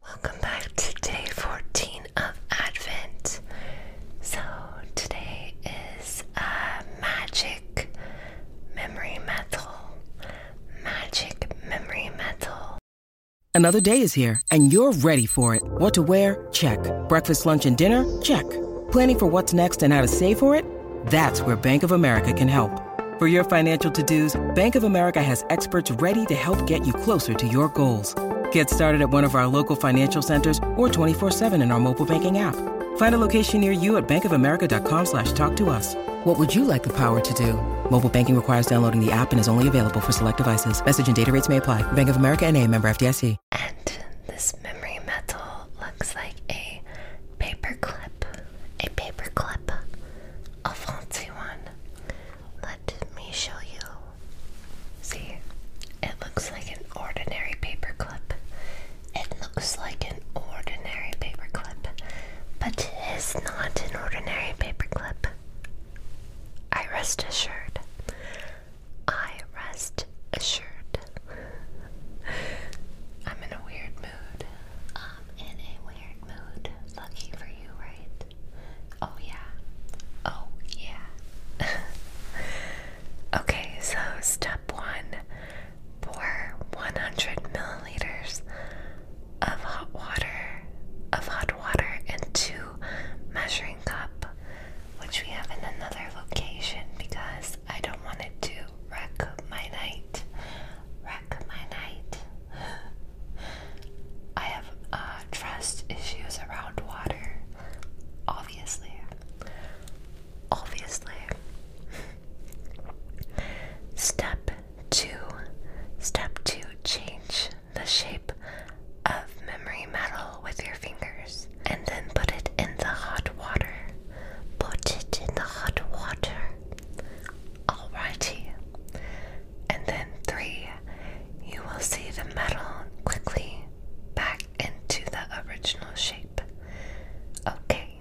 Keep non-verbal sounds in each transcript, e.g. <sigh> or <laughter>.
Welcome back to day 14 of Advent. So, today is a magic memory metal. Magic memory metal. Another day is here, and you're ready for it. What to wear? Check. Breakfast, lunch, and dinner? Check. Planning for what's next and how to save for it? That's where Bank of America can help. For your financial to-dos, Bank of America has experts ready to help get you closer to your goals. Get started at one of our local financial centers or 24-7 in our mobile banking app. Find a location near you at bankofamerica.com slash talk to us. What would you like the power to do? Mobile banking requires downloading the app and is only available for select devices. Message and data rates may apply. Bank of America and a member FDIC. And this memory metal looks like a paperclip. A paperclip a fancy one. Let me show you. See, it looks like an ordinary paper It looks like an ordinary paper but it is not an ordinary paper I rest assured. I rest assured. I'm in a weird I'm um, in a weird mood. Lucky for you, right? Oh, yeah. Oh, yeah. <laughs> okay, so step one pour 100 milliliters of hot water, of hot water into measuring cup, which we have in another location because I don't want it to wreck my night wreck my night. I have uh, trust issues around water, obviously. Obviously. Step two. Step two change the shape of memory metal with your fingers and then put it in the hot water. Put it in the hot water. Alrighty. And then three, you will see the metal quickly back into the original shape. Okay,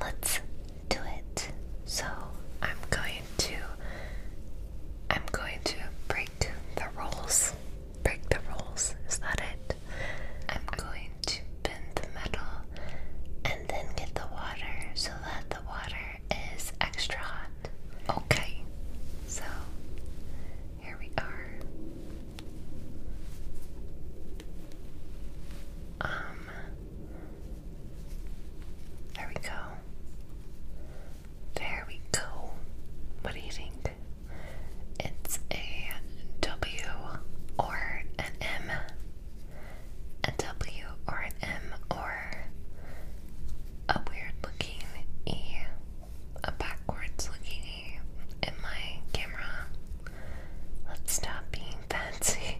let's do it. So I'm going to I'm going to break the rules. Break the rules. Is that it? I'm going to bend the metal and then get the water so that the water is extra hot. Okay, so here we are. Um, there we go. There we go. What do you think? It's a W or an M. A W or an M or a weird looking E. A backwards looking E in my camera. Let's stop being fancy.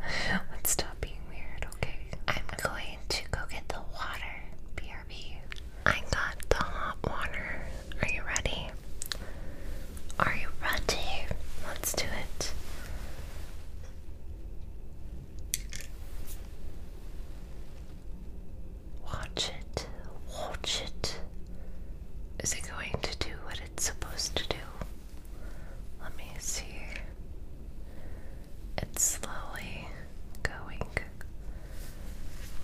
<laughs> Let's stop being weird, okay? I'm going to go get the water, BRB. I got the hot water. Are you ready? Are you ready? Let's do it. Watch it. Watch it. Is it going to do what it's supposed to do? Let me see. It's slowly going,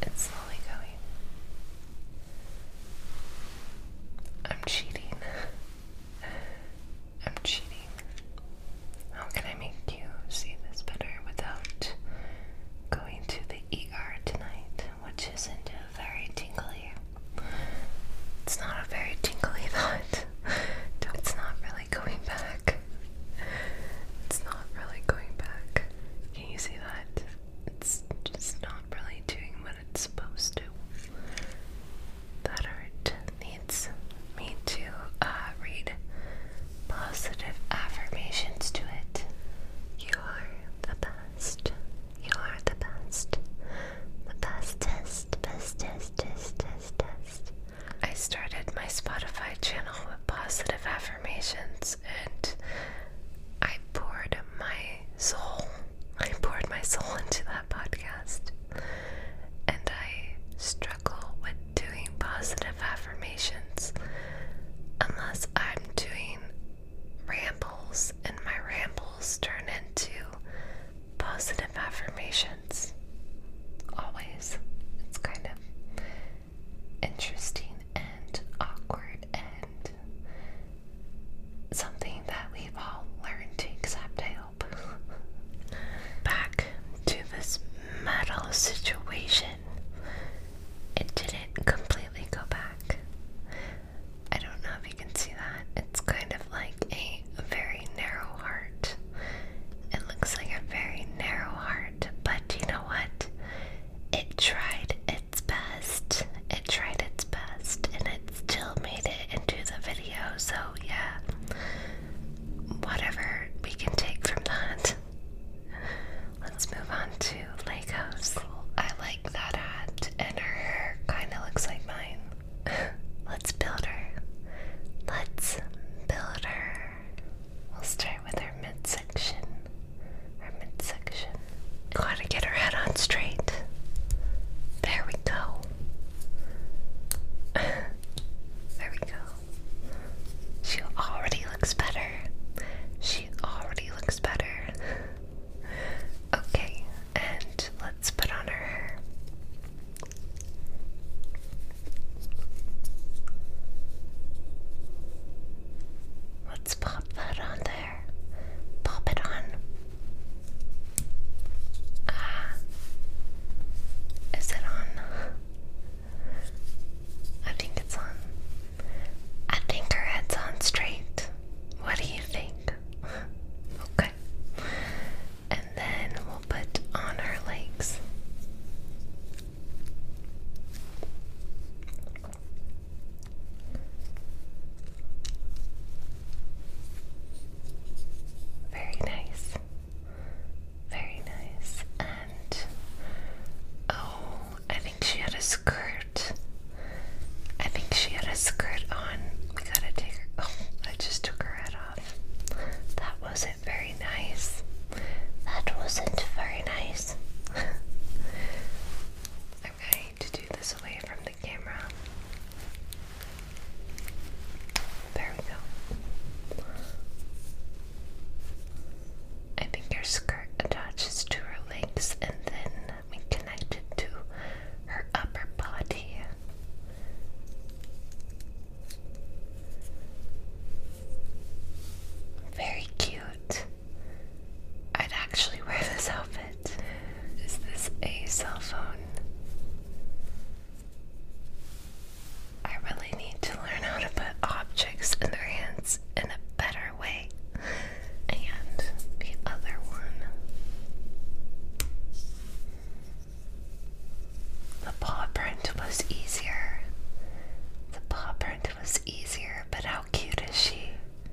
it's slowly going. I'm cheating. I'm cheating. How can I make you see this better without going to the ER tonight? Which isn't very tingly. It's not a very tingly <laughs> thought. It's not really going back. It's not really going back. Can you see that? It's just not really doing what it's supposed to. That art needs me to uh, read positive affirmations to it. You are the best. You are the best. The bestest, bestest, I started my Spotify channel positive affirmations and I poured my soul. <laughs> I poured my soul into that podcast. And I struggle with doing positive affirmations unless I'm doing rambles and my rambles turn into positive affirmations. Always. It's kind of interesting and awkward and something that we've all learned to accept, I hope. <laughs> Back to this metal situation. It didn't completely go back. I don't know if you can see that. It's kind of like a very narrow heart. It looks like a very narrow heart, but you know what? It tried its best. It tried its best, and it still made it into the video. So, yeah, whatever we can take from that. Let's move on to Legos. I like that hat, and her hair kind of looks like mine. <laughs> Let's build her. Let's build her. We'll start with her midsection. Her midsection. Gotta get her head on straight. There we go. <laughs> there we go. She already looks better. She already looks better. <laughs> okay, and let's put on her hair. Let's pop that on there. Pop it on. Ah. Is it on? I think it's on. I think her head's on straight. What do you think? <laughs> okay and then we'll put on our legs. Very nice. Very nice. And oh, I think she had a skirt. I think she had a skirt on. We gotta take her. Oh, I just took her head that wasn't very nice. That wasn't very nice. <laughs> i to do this away from the camera. There we go. I think her skirt attaches to her legs and then we connect it to her upper body. Very cute. I'd actually wear this outfit. Is this a cell phone? I really need to learn how to put objects in their hands in a better way. And the other one. The paw print was easier. The paw print was easier, but how cute is she?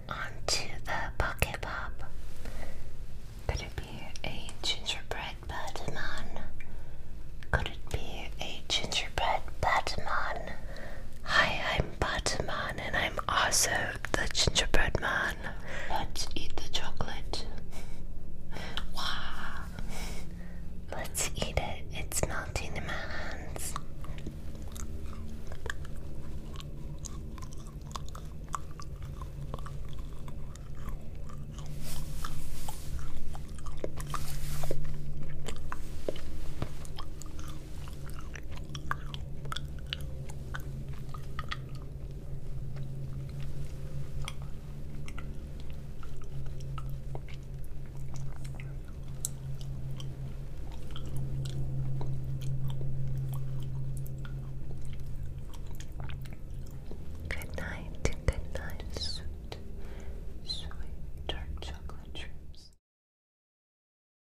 Onto the pocket pop. Could it be a gingerbread Batman? Could it be a gingerbread Batman? Hi, I'm Batman, and I'm also the gingerbread man. Let's eat the chocolate. Wow. Let's eat it. It's melting in my hands. Good night, good night, sweet, sweet chocolate dreams.